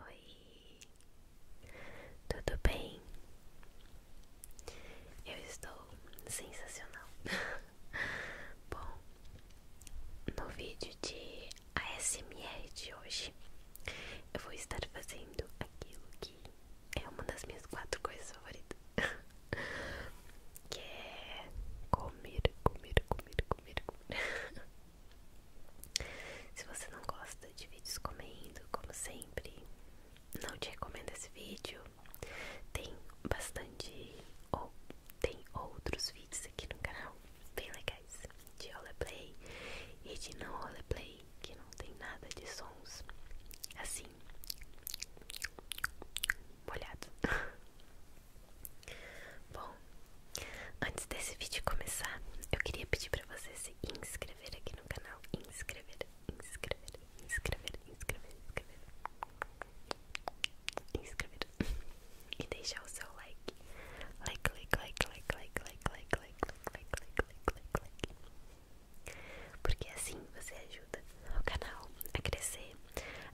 Oi, tudo bem? Eu estou sensacional. Bom, no vídeo de ASMR de hoje eu vou estar fazendo aquilo que é uma das minhas quatro coisas favoritas, que é comer, comer, comer, comer, comer. Se você não gosta de vídeos comendo, como sempre, não te recomendo esse vídeo. Tem bastante ou tem outros vídeos aqui no canal bem legais de roleplay e de não roleplay que não tem nada de sons assim molhados. Bom, antes desse vídeo começar, eu queria pedir para você se inscrever aqui no canal, inscrever, inscrever, inscrever, inscrever, inscrever, inscrever e deixar o seu like, like, like, like, like, like, like, like, porque é assim você ajuda o canal a crescer,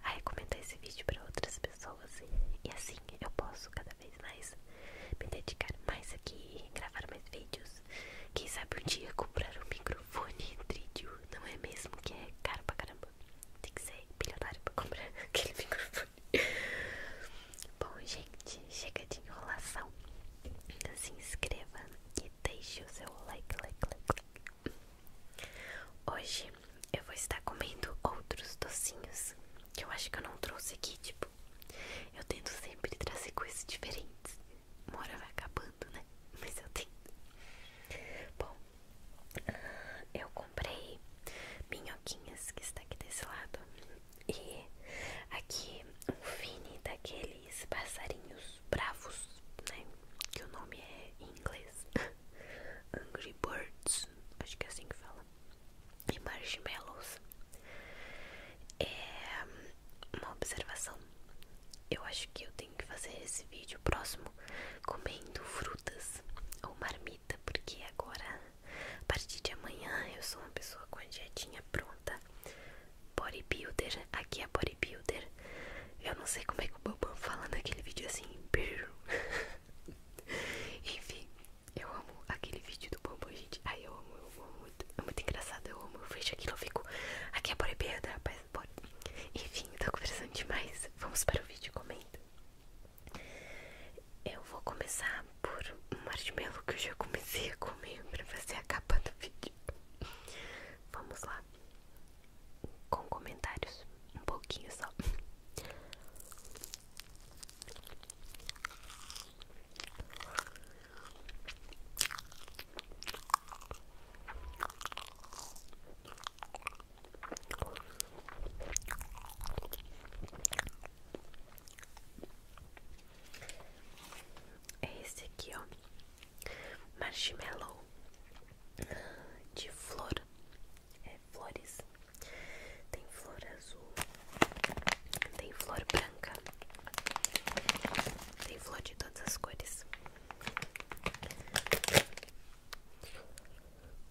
a recomendar esse vídeo para outras pessoas e assim eu posso cada vez mais me dedicar mais aqui, gravar mais vídeos. Quem sabe um dia comprar um microfone trídio, não é mesmo? Que é caro pra caramba. Tem que ser bilionário pra comprar aquele microfone. Bom, gente, chega de enrolação. Se inscreva e deixe o seu like, like, like, like. Hoje eu vou estar comendo outros docinhos que eu acho que eu não trouxe aqui. Tipo, eu tento sempre trazer coisas diferentes. Uma hora vai acabando, né? Mas eu tento. Bom, eu comprei minhoquinhas que está aqui desse lado. E aqui o fine daqueles passarinhos bravos, né? Que o nome é em inglês Angry Birds, acho que é assim que fala. E marshmallows. É uma observação. Eu acho que eu tenho que fazer esse vídeo próximo comendo frutas ou marmita, porque agora a partir de amanhã eu sou uma pessoa com a dietinha pronta. Bodybuilder, aqui é bodybuilder. Eu não sei como é que o Bobão fala naquele vídeo assim. Enfim, eu amo aquele vídeo do Bobão, gente. Ai, eu amo, eu amo muito. É muito engraçado, eu amo. Eu vejo aquilo, eu fico. Aqui é bodybuilder, rapaz. Enfim, eu tô conversando demais. Vamos para o vídeo, comenta. Eu vou começar por um marshmallow que eu já comecei a comer pra fazer a capa do vídeo. Vamos lá, com comentários, um pouquinho só. É esse aqui, ó. Marshmallow de flor. É flores. Tem flor azul. Tem flor branca. Tem flor de todas as cores.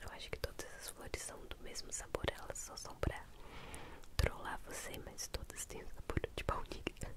Eu acho que todas essas flores são do mesmo sabor, elas só são pra trollar você, mas todas têm sabor de baunilha.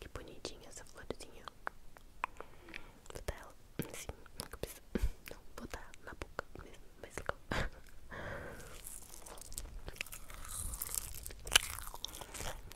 Que bonitinha essa florzinha. Vou botar ela assim na cabeça. Não, botar na boca mesmo, mais legal.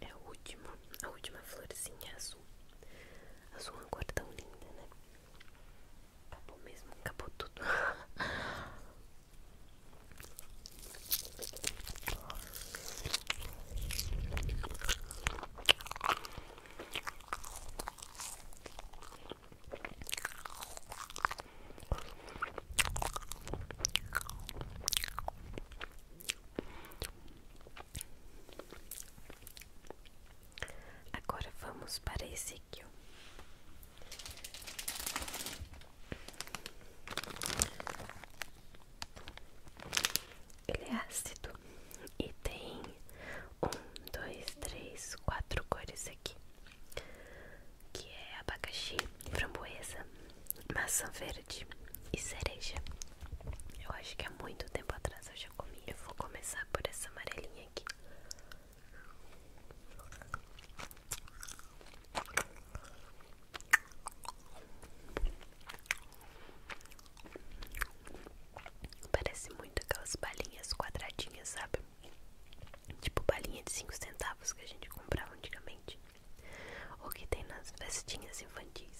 é a última, a última florzinha azul. Azul é uma cor tão linda, né? Acabou mesmo, acabou tudo. Agora vamos para Ezequiel. Ele é ácido e tem um, dois, três, quatro cores aqui que é abacaxi, framboesa, maçã verde e cereja. Eu acho que há muito tempo atrás eu já comi. Eu vou começar por essa amarelinha aqui. Parece muito aquelas balinhas quadradinhas, sabe? Tipo balinha de 5 centavos que a gente comprava antigamente o que tem nas festinhas infantis.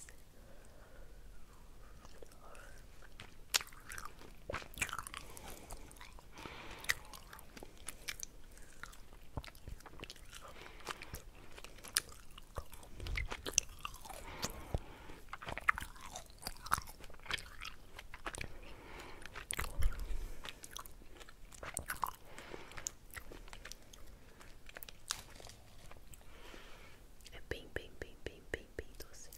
É bem, bem, bem, bem, bem, bem doce.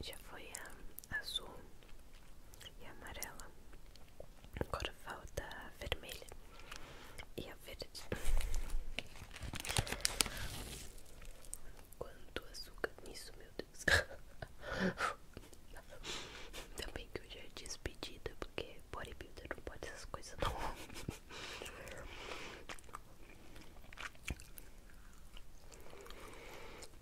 Já foi azul e amarela. Agora falta a vermelha e a verde. Quanto açúcar nisso, meu Deus. Ainda que eu já disse pedida, porque bodybuilder não pode essas coisas não.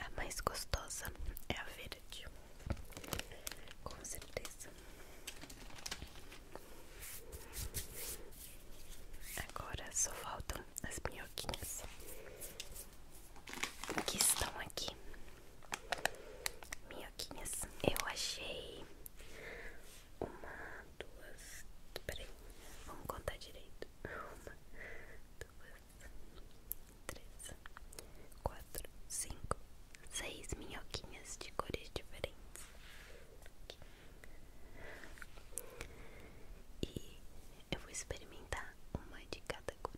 A mais gostosa é a verde, com certeza. Agora só faltam as minhoquinhas que estão aqui. Minhoquinhas, eu achei uma, duas. Peraí, vamos contar direito. Uma, duas, três, quatro, cinco, seis minhoquinhas de cores diferentes. E eu vou experimentar uma de cada cor.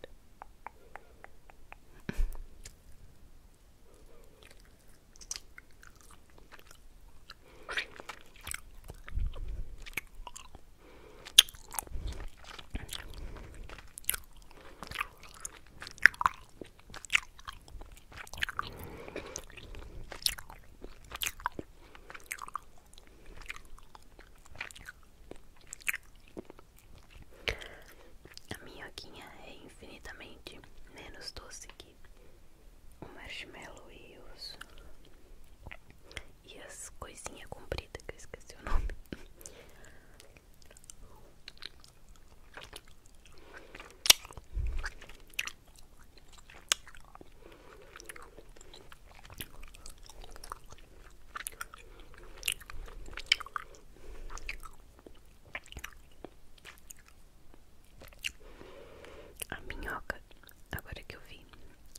A minhoquinha é infinitamente menos doce que o marshmallow e os e as coisinhas compridas que eu esqueci o nome a minhoca, agora que eu vi,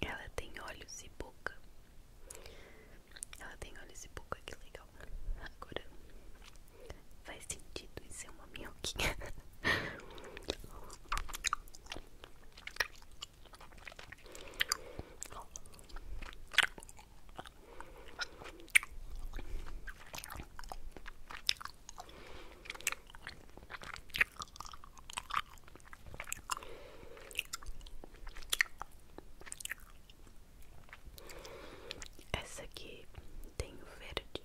ela tem olhos e boca. Ela tem olhos e boca, que legal. Agora faz sentido isso uma minhoquinha. Essa aqui tem o verde,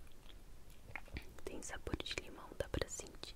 tem sabor de limão, dá pra sentir.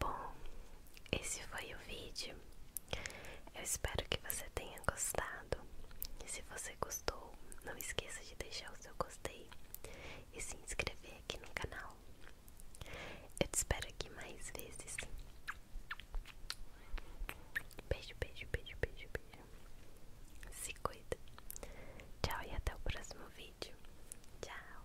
Bom, esse foi o vídeo eu espero que você tenha gostado. se você gostou, não esqueça de deixar o seu gostei e se inscrever aqui no canal. Eu te espero aqui mais vezes. Beijo, beijo, beijo, beijo, beijo. Se cuida. Tchau e até o próximo vídeo. Tchau.